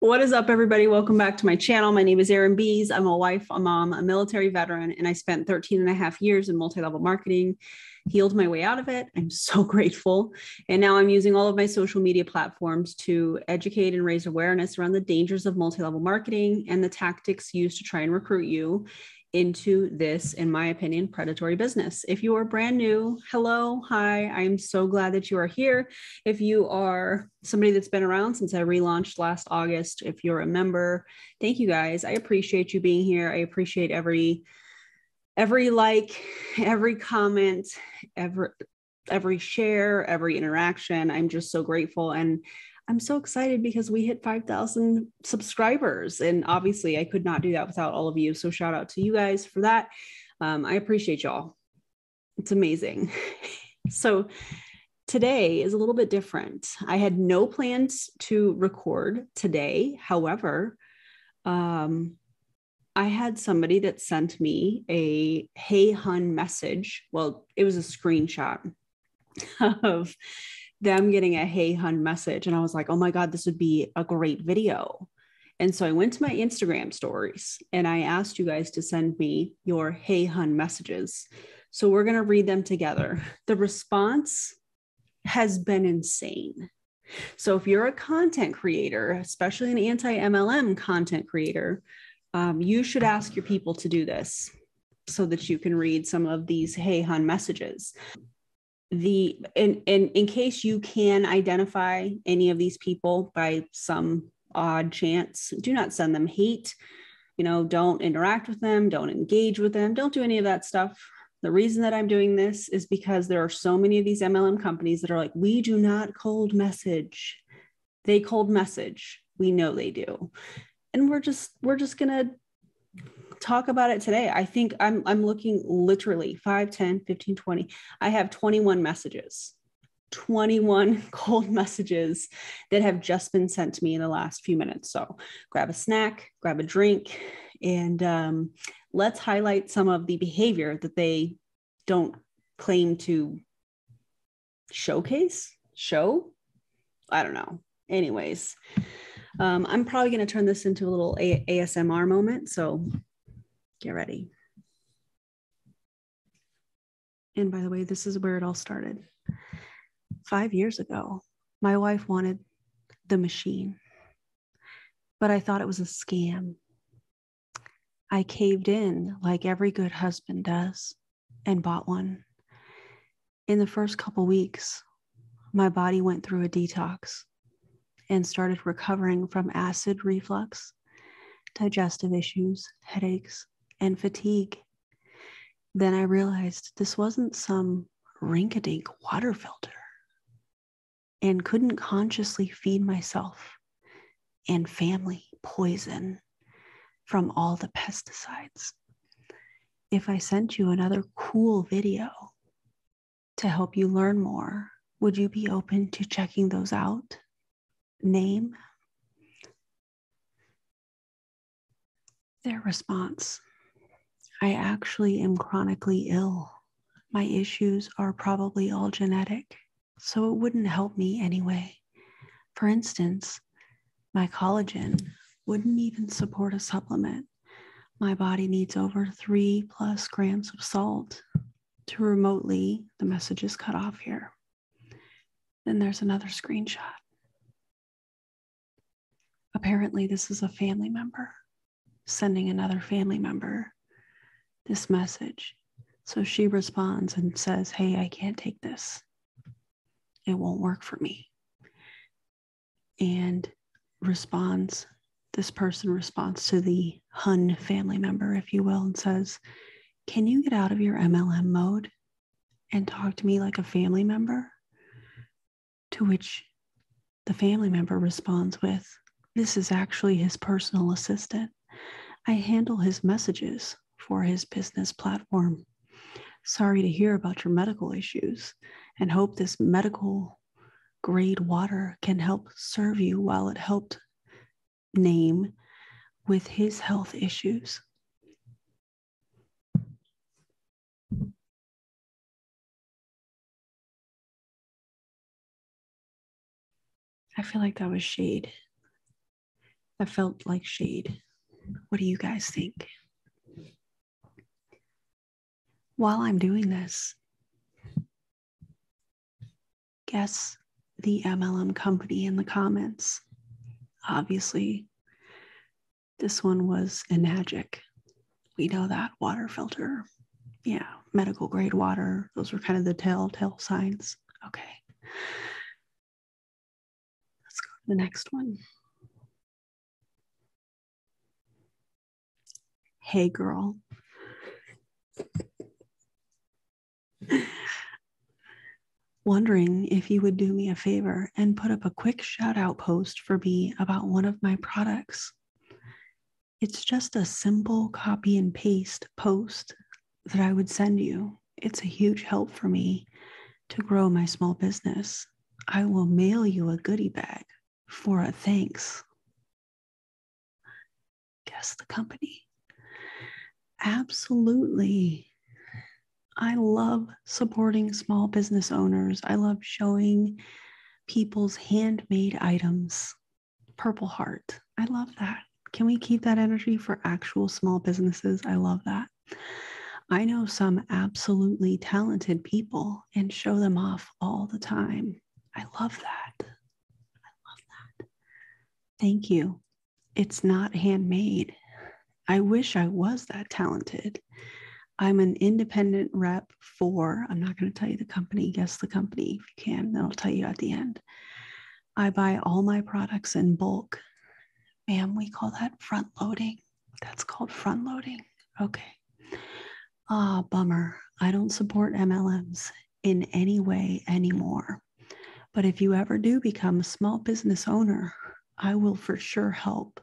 What is up, everybody? Welcome back to my channel. My name is Erin Bees. I'm a wife, a mom, a military veteran, and I spent 13 and a half years in multi level marketing, healed my way out of it, I'm so grateful. And now I'm using all of my social media platforms to educate and raise awareness around the dangers of multi level marketing and the tactics used to try and recruit you into this, in my opinion, predatory business. If you are brand new, hello, hi, I'm so glad that you are here. If you are somebody that's been around since I relaunched last August, if you're a member, thank you guys. I appreciate you being here. I appreciate every every like, every comment, every every share, every interaction. I'm just so grateful and I'm so excited because we hit 5,000 subscribers and obviously I could not do that without all of you. So shout out to you guys for that. Um, I appreciate y'all. It's amazing. so today is a little bit different. I had no plans to record today. However, um, I had somebody that sent me a Hey Hun message. Well, it was a screenshot of them getting a Hey Hun message. And I was like, oh my God, this would be a great video. And so I went to my Instagram stories and I asked you guys to send me your Hey Hun messages. So we're going to read them together. The response has been insane. So if you're a content creator, especially an anti MLM content creator, um, you should ask your people to do this so that you can read some of these hey Hun" messages the in, in case you can identify any of these people by some odd chance do not send them hate you know don't interact with them don't engage with them don't do any of that stuff the reason that i'm doing this is because there are so many of these MLM companies that are like, we do not cold message. They cold message. We know they do. And we're just, we're just gonna talk about it today. I think I'm I'm looking literally 5, 10, 15, 20. I have 21 messages. 21 cold messages that have just been sent to me in the last few minutes. So grab a snack, grab a drink, and um, let's highlight some of the behavior that they don't claim to showcase, show. I don't know. Anyways, um, I'm probably going to turn this into a little ASMR moment. So get ready. And by the way, this is where it all started. Five years ago, my wife wanted the machine but I thought it was a scam. I caved in like every good husband does and bought one. In the first couple weeks, my body went through a detox and started recovering from acid reflux, digestive issues, headaches, and fatigue. Then I realized this wasn't some rink a dink water filter and couldn't consciously feed myself and family poison from all the pesticides. If I sent you another cool video to help you learn more, would you be open to checking those out? Name their response I actually am chronically ill. My issues are probably all genetic so it wouldn't help me anyway. For instance, my collagen wouldn't even support a supplement. My body needs over three plus grams of salt to remotely, the message is cut off here. Then there's another screenshot. Apparently, this is a family member sending another family member this message. So she responds and says, Hey, I can't take this. It won't work for me. And responds, this person responds to the Hun family member, if you will, and says, Can you get out of your MLM mode and talk to me like a family member? To which the family member responds with, This is actually his personal assistant. I handle his messages for his business platform. Sorry to hear about your medical issues and hope this medical grade water can help serve you while it helped name with his health issues. I feel like that was shade. That felt like shade. What do you guys think? While I'm doing this, guess the MLM company in the comments. Obviously, this one was Enagic. We know that water filter yeah, medical grade water. Those were kind of the telltale signs. Okay. Let's go to the next one. Hey, girl. Wondering if you would do me a favor and put up a quick shout out post for me about one of my products. It's just a simple copy and paste post that I would send you. It's a huge help for me to grow my small business. I will mail you a goodie bag for a thanks. Guess the company. Absolutely. I love supporting small business owners. I love showing people's handmade items. Purple Heart. I love that. Can we keep that energy for actual small businesses? I love that. I know some absolutely talented people and show them off all the time. I love that. I love that. Thank you. It's not handmade. I wish I was that talented. I'm an independent rep for, I'm not going to tell you the company, guess the company if you can, I'll tell you at the end. I buy all my products in bulk. Ma'am, we call that front loading. That's called front loading. Okay. Ah, bummer. I don't support MLMs in any way anymore. But if you ever do become a small business owner, I will for sure help.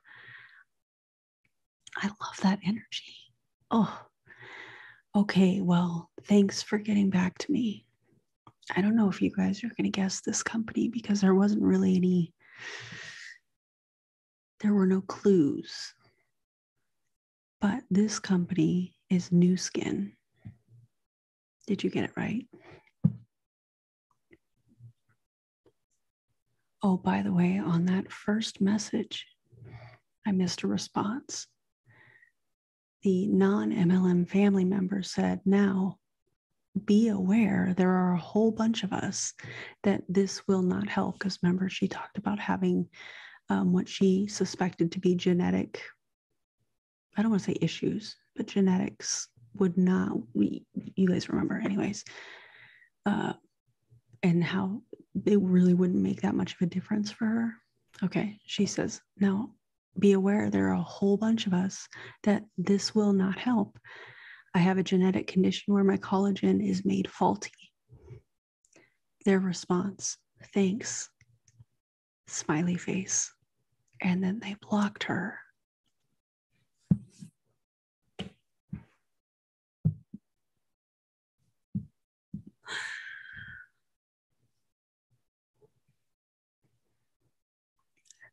I love that energy. Oh, okay, well, thanks for getting back to me. I don't know if you guys are going to guess this company because there wasn't really any, there were no clues. But this company is New Skin. Did you get it right? Oh, by the way, on that first message, I missed a response the non MLM family member said, now be aware there are a whole bunch of us that this will not help. Because remember, she talked about having um, what she suspected to be genetic, I don't want to say issues, but genetics would not, we, you guys remember, anyways, uh, and how it really wouldn't make that much of a difference for her. Okay. She says, now be aware there are a whole bunch of us that this will not help. I have a genetic condition where my collagen is made faulty. Their response, thanks, smiley face. And then they blocked her.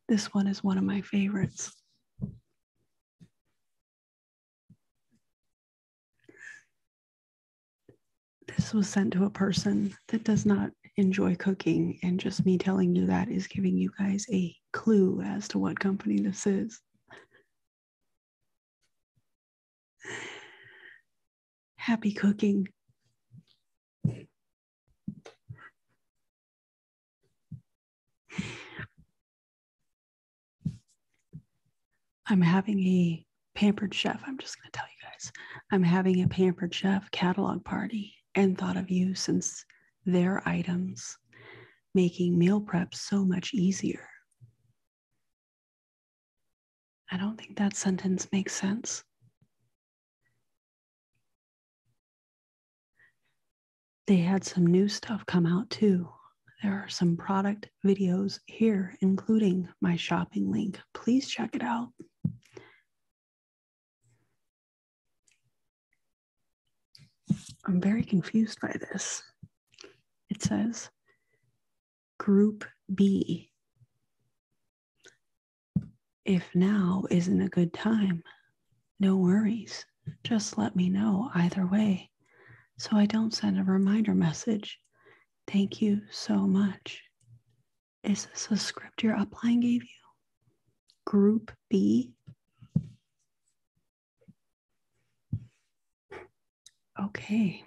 This one is one of my favorites. This was sent to a person that does not enjoy cooking, and just me telling you that is giving you guys a clue as to what company this is. Happy cooking. I'm having a pampered chef. I'm just going to tell you guys. I'm having a pampered chef catalog party and thought of you since their items making meal prep so much easier. I don't think that sentence makes sense. They had some new stuff come out too. There are some product videos here, including my shopping link. Please check it out. I'm very confused by this. It says group B. If now isn't a good time, no worries. Just let me know either way so I don't send a reminder message. Thank you so much. Is this a script your upline gave you? Group B? Okay.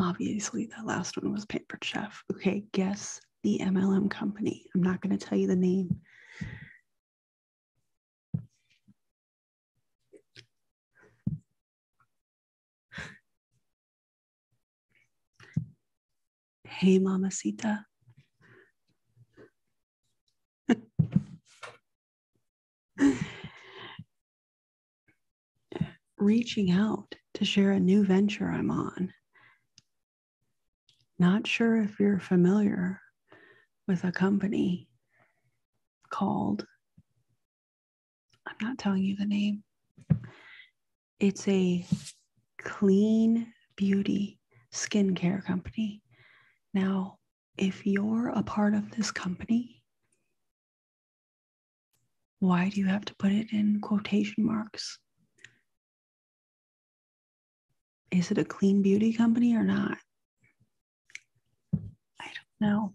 Obviously, that last one was Paper Chef. Okay, guess the MLM company. I'm not going to tell you the name. Hey, Mamacita. Reaching out to share a new venture I'm on. Not sure if you're familiar with a company called, I'm not telling you the name. It's a clean beauty skincare company. Now, if you're a part of this company, why do you have to put it in quotation marks? Is it a clean beauty company or not? I don't know.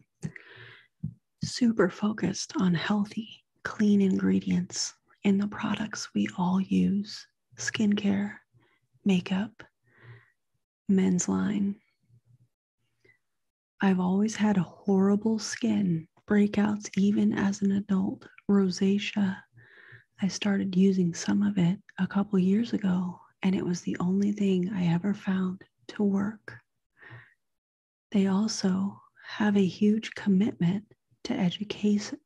Super focused on healthy, clean ingredients in the products we all use skincare, makeup, men's line. I've always had horrible skin breakouts, even as an adult, rosacea. I started using some of it a couple years ago, and it was the only thing I ever found to work. They also have a huge commitment to education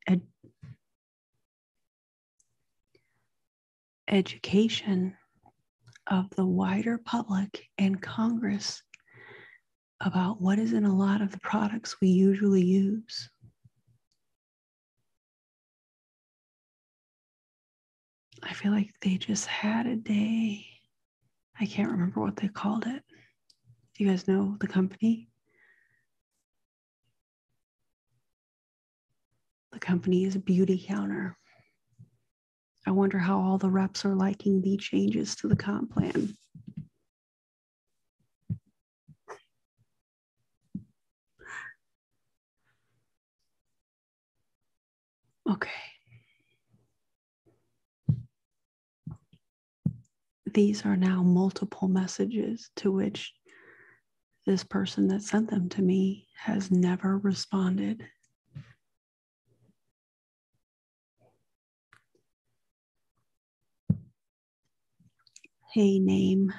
education of the wider public and Congress about what is in a lot of the products we usually use. I feel like they just had a day. I can't remember what they called it. Do you guys know the company? The company company's beauty counter. I wonder how all the reps are liking the changes to the comp plan. Okay. These are now multiple messages to which this person that sent them to me has never responded Hey, name.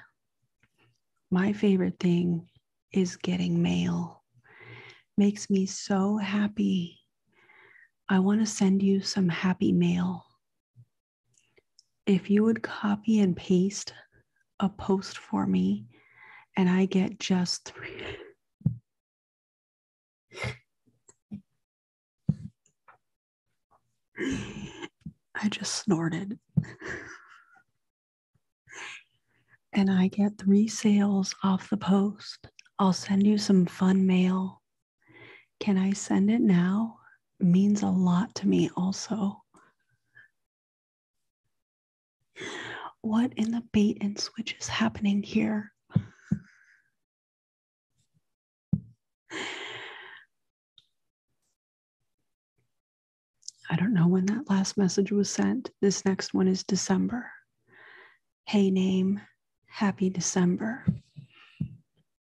My favorite thing is getting mail. Makes me so happy. I want to send you some happy mail. If you would copy and paste a post for me and I get just I just snorted. and I get three sales off the post. I'll send you some fun mail. Can I send it now? means a lot to me, also. What in the bait and switch is happening here? I don't know when that last message was sent. This next one is December. Hey, name, happy December.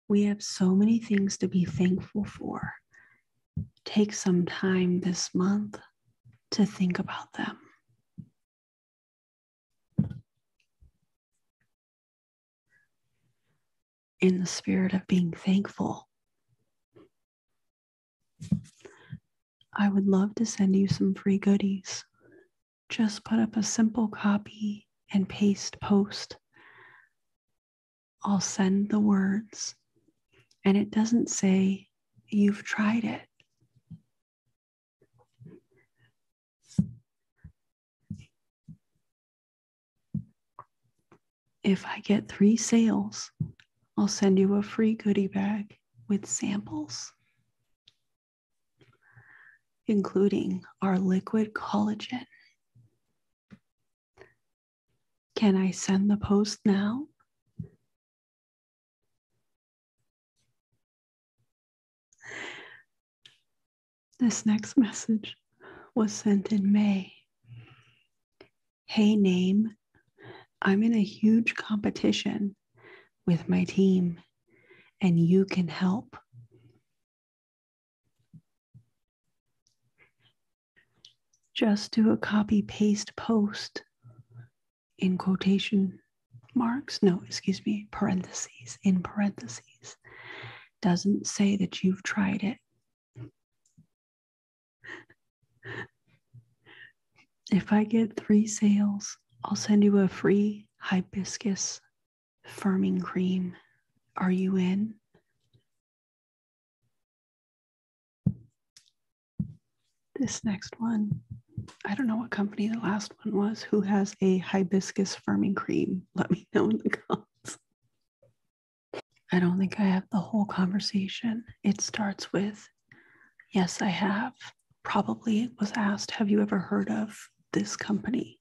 We have so many things to be thankful for take some time this month to think about them. In the spirit of being thankful, I would love to send you some free goodies. Just put up a simple copy and paste post. I'll send the words, and it doesn't say you've tried it. If I get three sales, I'll send you a free goodie bag with samples, including our liquid collagen. Can I send the post now? This next message was sent in May. Hey, name, I'm in a huge competition with my team, and you can help. Just do a copy paste post in quotation marks, no, excuse me, parentheses, in parentheses, doesn't say that you've tried it. If I get three sales, I'll send you a free hibiscus firming cream. Are you in? This next one, I don't know what company the last one was who has a hibiscus firming cream. Let me know in the comments. I don't think I have the whole conversation. It starts with, Yes, I have. Probably it was asked, Have you ever heard of this company?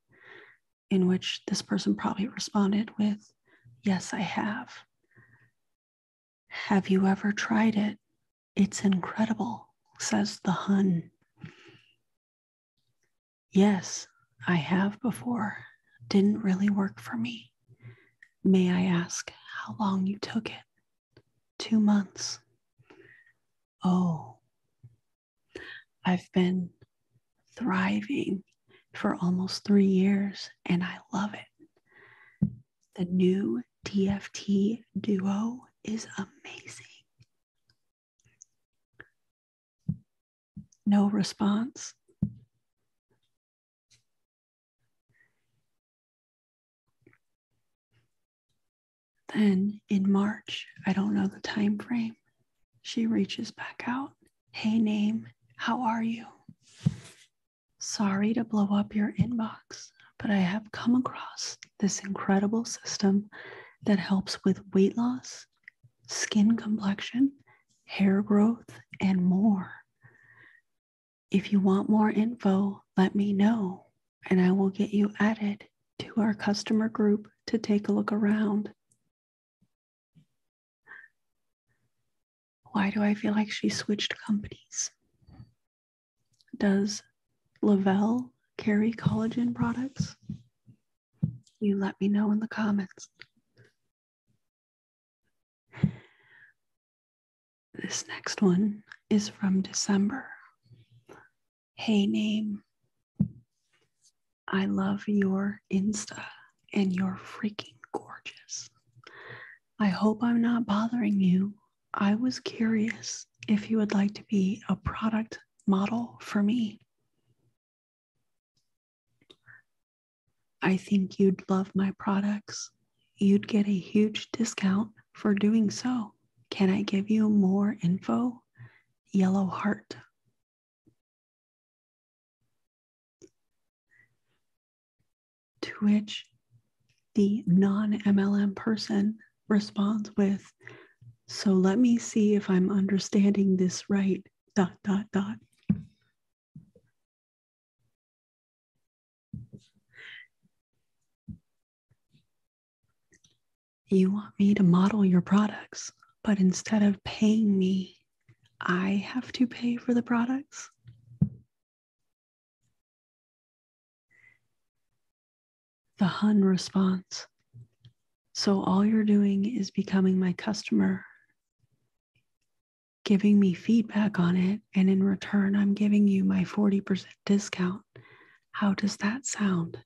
In which this person probably responded with, Yes, I have. Have you ever tried it? It's incredible, says the Hun. Yes, I have before. Didn't really work for me. May I ask how long you took it? Two months. Oh, I've been thriving for almost three years and I love it. The new TFT duo is amazing. No response. Then in March, I don't know the time frame, she reaches back out. Hey, name, how are you? Sorry to blow up your inbox, but I have come across this incredible system that helps with weight loss, skin complexion, hair growth, and more. If you want more info, let me know and I will get you added to our customer group to take a look around. Why do I feel like she switched companies? Does Lavelle carry collagen products? You let me know in the comments. This next one is from December. Hey, name. I love your Insta and you're freaking gorgeous. I hope I'm not bothering you I was curious if you would like to be a product model for me. I think you'd love my products. You'd get a huge discount for doing so. Can I give you more info? Yellow heart to which the non MLM person responds with, So let me see if I'm understanding this right. Dot, dot, dot. You want me to model your products, but instead of paying me, I have to pay for the products. The Hun response. So all you're doing is becoming my customer, giving me feedback on it, and in return, I'm giving you my 40% discount. How does that sound?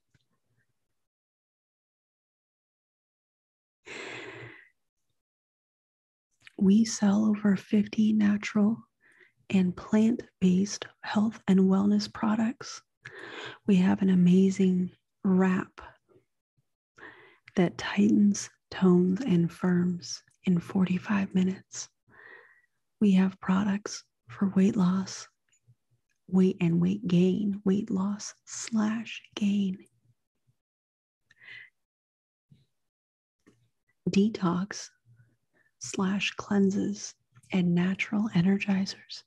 We sell over 50 natural and plant based health and wellness products. We have an amazing wrap that tightens, tones, and firms in 45 minutes. We have products for weight loss, weight and weight gain, weight loss slash gain detox slash cleanses and natural energizers,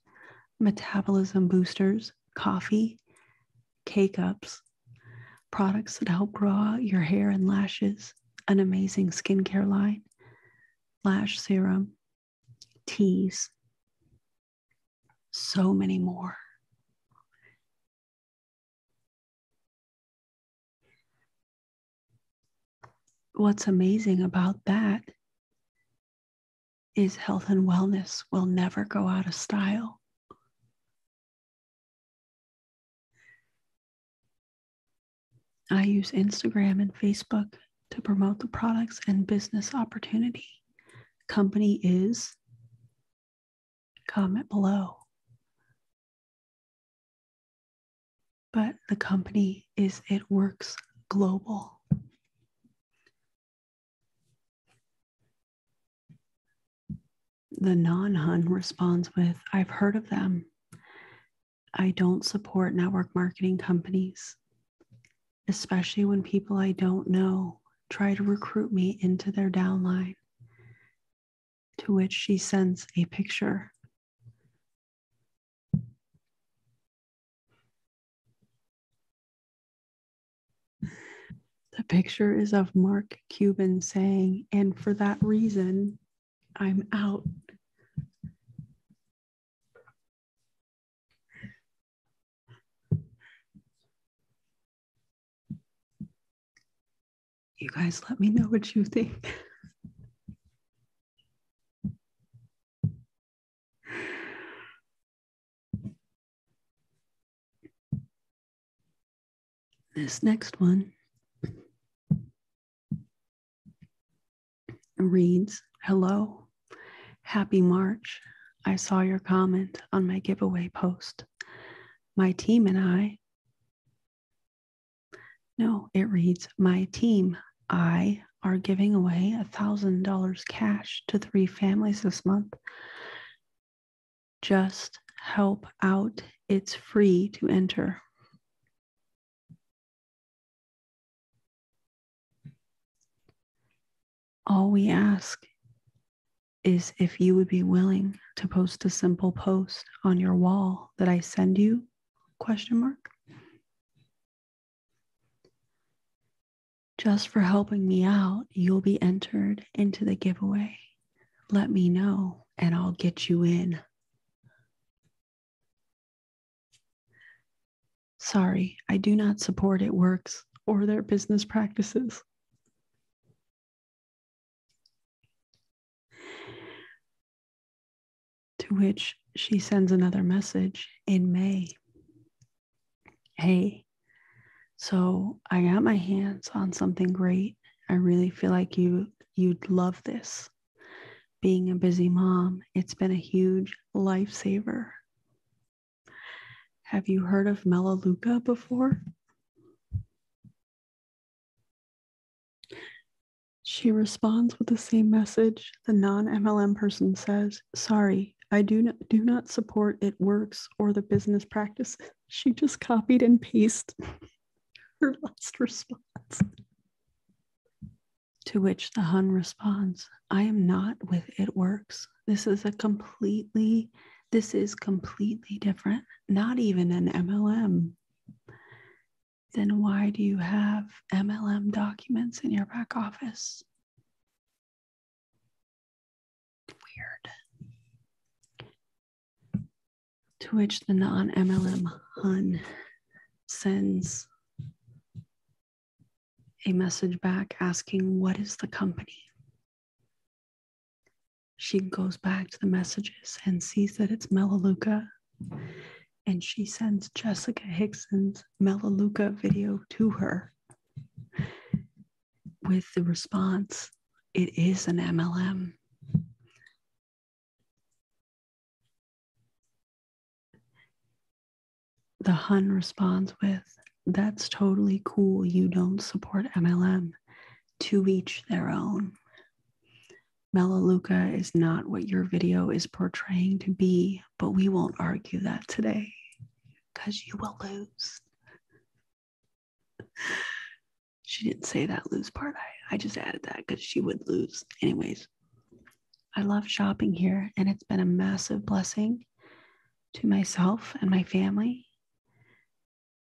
metabolism boosters, coffee, cake ups, products that help grow out your hair and lashes, an amazing skincare line, lash serum, teas, so many more what's amazing about that is health and wellness will never go out of style. I use Instagram and Facebook to promote the products and business opportunity. Company is comment below. But the company is It Works Global. The non Hun responds with I've heard of them. I don't support network marketing companies, especially when people I don't know try to recruit me into their downline to which she sends a picture. The picture is of Mark Cuban saying, and for that reason, I'm out. You guys, let me know what you think. this next one reads Hello, happy March. I saw your comment on my giveaway post. My team and I no, it reads My team, I are giving away $1,000 cash to three families this month. Just help out. It's free to enter. All we ask is if you would be willing to post a simple post on your wall that I send you Question mark. Just for helping me out, you'll be entered into the giveaway. Let me know and I'll get you in. Sorry, I do not support it works or their business practices. To which she sends another message in May Hey, so I got my hands on something great. I really feel like you you'd love this. Being a busy mom, it's been a huge lifesaver. Have you heard of Melaleuca before? She responds with the same message. The non MLM person says, Sorry, I do not, do not support it works or the business practice. She just copied and pasted her last response. To which the Hun responds, I am not with it works. This is a completely, this is completely different, not even an MLM then why do you have MLM documents in your back office? Weird. To which the non MLM Hun sends a message back asking, What is the company? She goes back to the messages and sees that it's Melaleuca and she sends Jessica Hickson's Melaleuca video to her with the response, It is an MLM. The Hun responds with, That's totally cool. You don't support MLM. To each their own. Melaleuca is not what your video is portraying to be, but we won't argue that today because you will lose. she didn't say that lose part. I, I just added that because she would lose. Anyways, I love shopping here and it's been a massive blessing to myself and my family.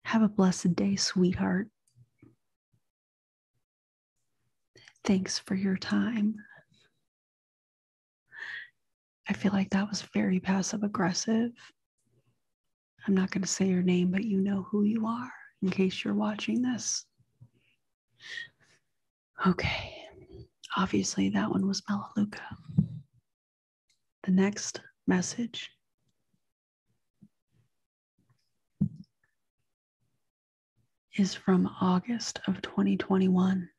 Have a blessed day, sweetheart. Thanks for your time. I feel like that was very passive aggressive. I'm not going to say your name, but you know who you are in case you're watching this. Okay. Obviously, that one was Melaleuca. The next message is from August of 2021.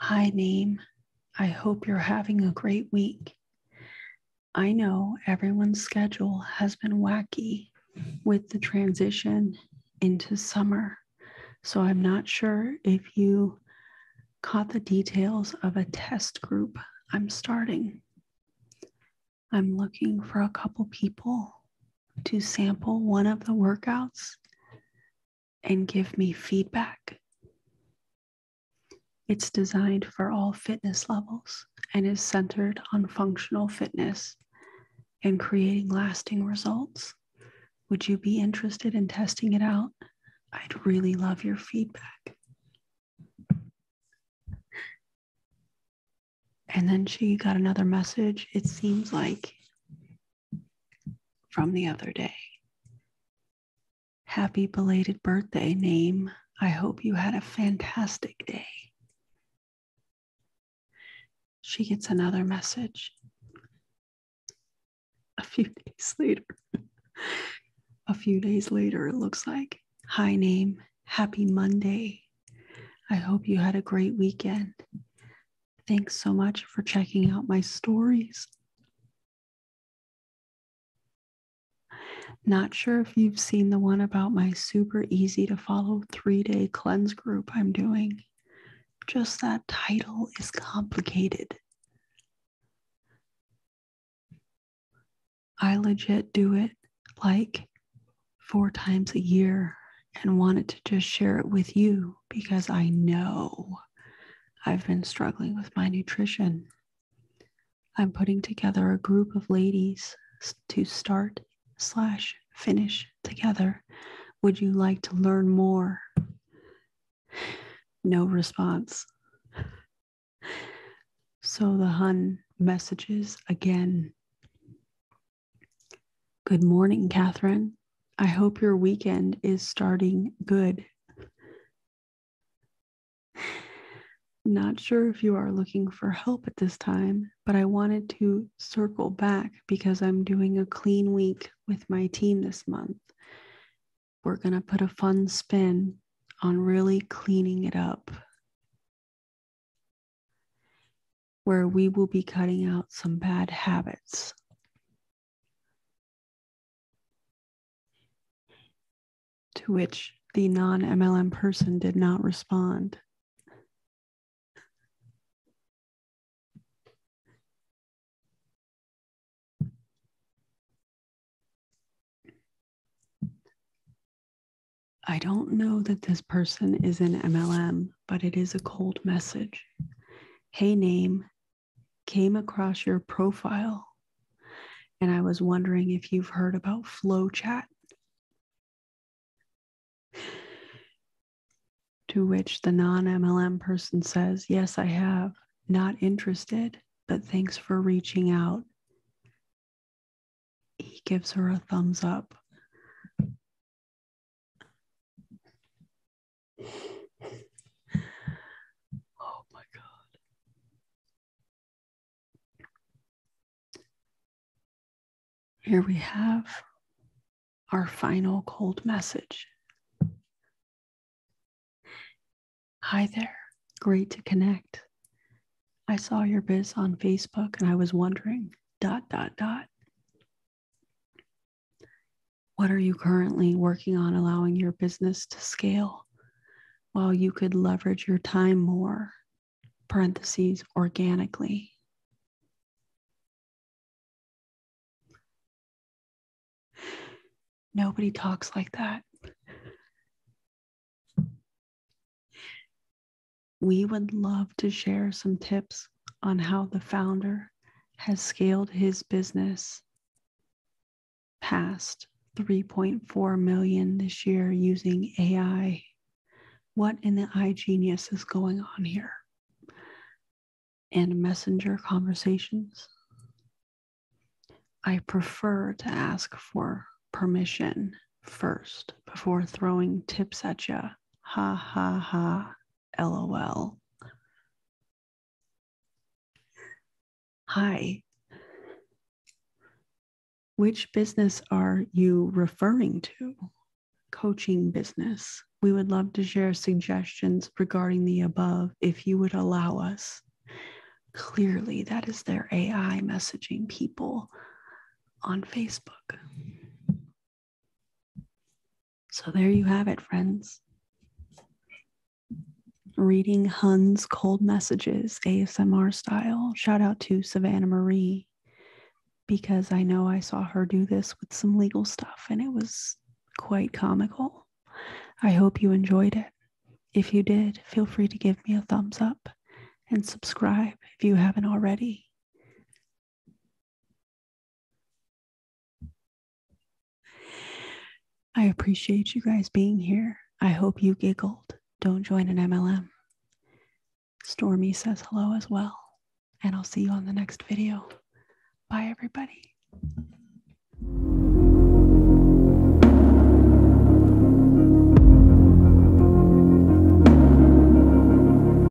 Hi, name. I hope you're having a great week. I know everyone's schedule has been wacky with the transition into summer, so I'm not sure if you caught the details of a test group I'm starting. I'm looking for a couple people to sample one of the workouts and give me feedback. It's designed for all fitness levels and is centered on functional fitness and creating lasting results. Would you be interested in testing it out? I'd really love your feedback. And then she got another message, it seems like, from the other day. Happy belated birthday, name. I hope you had a fantastic day. She gets another message a few days later. a few days later, it looks like. Hi, name. Happy Monday. I hope you had a great weekend. Thanks so much for checking out my stories. Not sure if you've seen the one about my super easy to follow three day cleanse group I'm doing. Just that title is complicated. I legit do it like four times a year and wanted to just share it with you because I know I've been struggling with my nutrition. I'm putting together a group of ladies to start slash finish together. Would you like to learn more? No response. So the Hun messages again. Good morning, Catherine. I hope your weekend is starting good. Not sure if you are looking for help at this time, but I wanted to circle back because I'm doing a clean week with my team this month. We're going to put a fun spin on really cleaning it up where we will be cutting out some bad habits. To which the non MLM person did not respond. I don't know that this person is an MLM but it is a cold message. Hey, name came across your profile. And I was wondering if you've heard about Flow Chat. To which the non MLM person says, Yes, I have. Not interested, but thanks for reaching out. He gives her a thumbs up oh my God. Here we have our final cold message. Hi there. Great to connect. I saw your biz on Facebook and I was wondering, dot, dot, dot, what are you currently working on allowing your business to scale while you could leverage your time more? Parentheses organically. Nobody talks like that. We would love to share some tips on how the founder has scaled his business past 3.4 million this year using AI. What in the I genius is going on here? And messenger conversations. I prefer to ask for permission first before throwing tips at you. Ha ha ha. LOL. Hi. Which business are you referring to? Coaching business. We would love to share suggestions regarding the above if you would allow us. Clearly, that is their AI messaging people on Facebook. So there you have it, friends. Reading Hun's cold messages, ASMR style. Shout out to Savannah Marie because I know I saw her do this with some legal stuff and it was quite comical. I hope you enjoyed it. If you did, feel free to give me a thumbs up and subscribe if you haven't already. I appreciate you guys being here. I hope you giggled. Don't join an MLM. Stormy says hello as well. And I'll see you on the next video. Bye, everybody.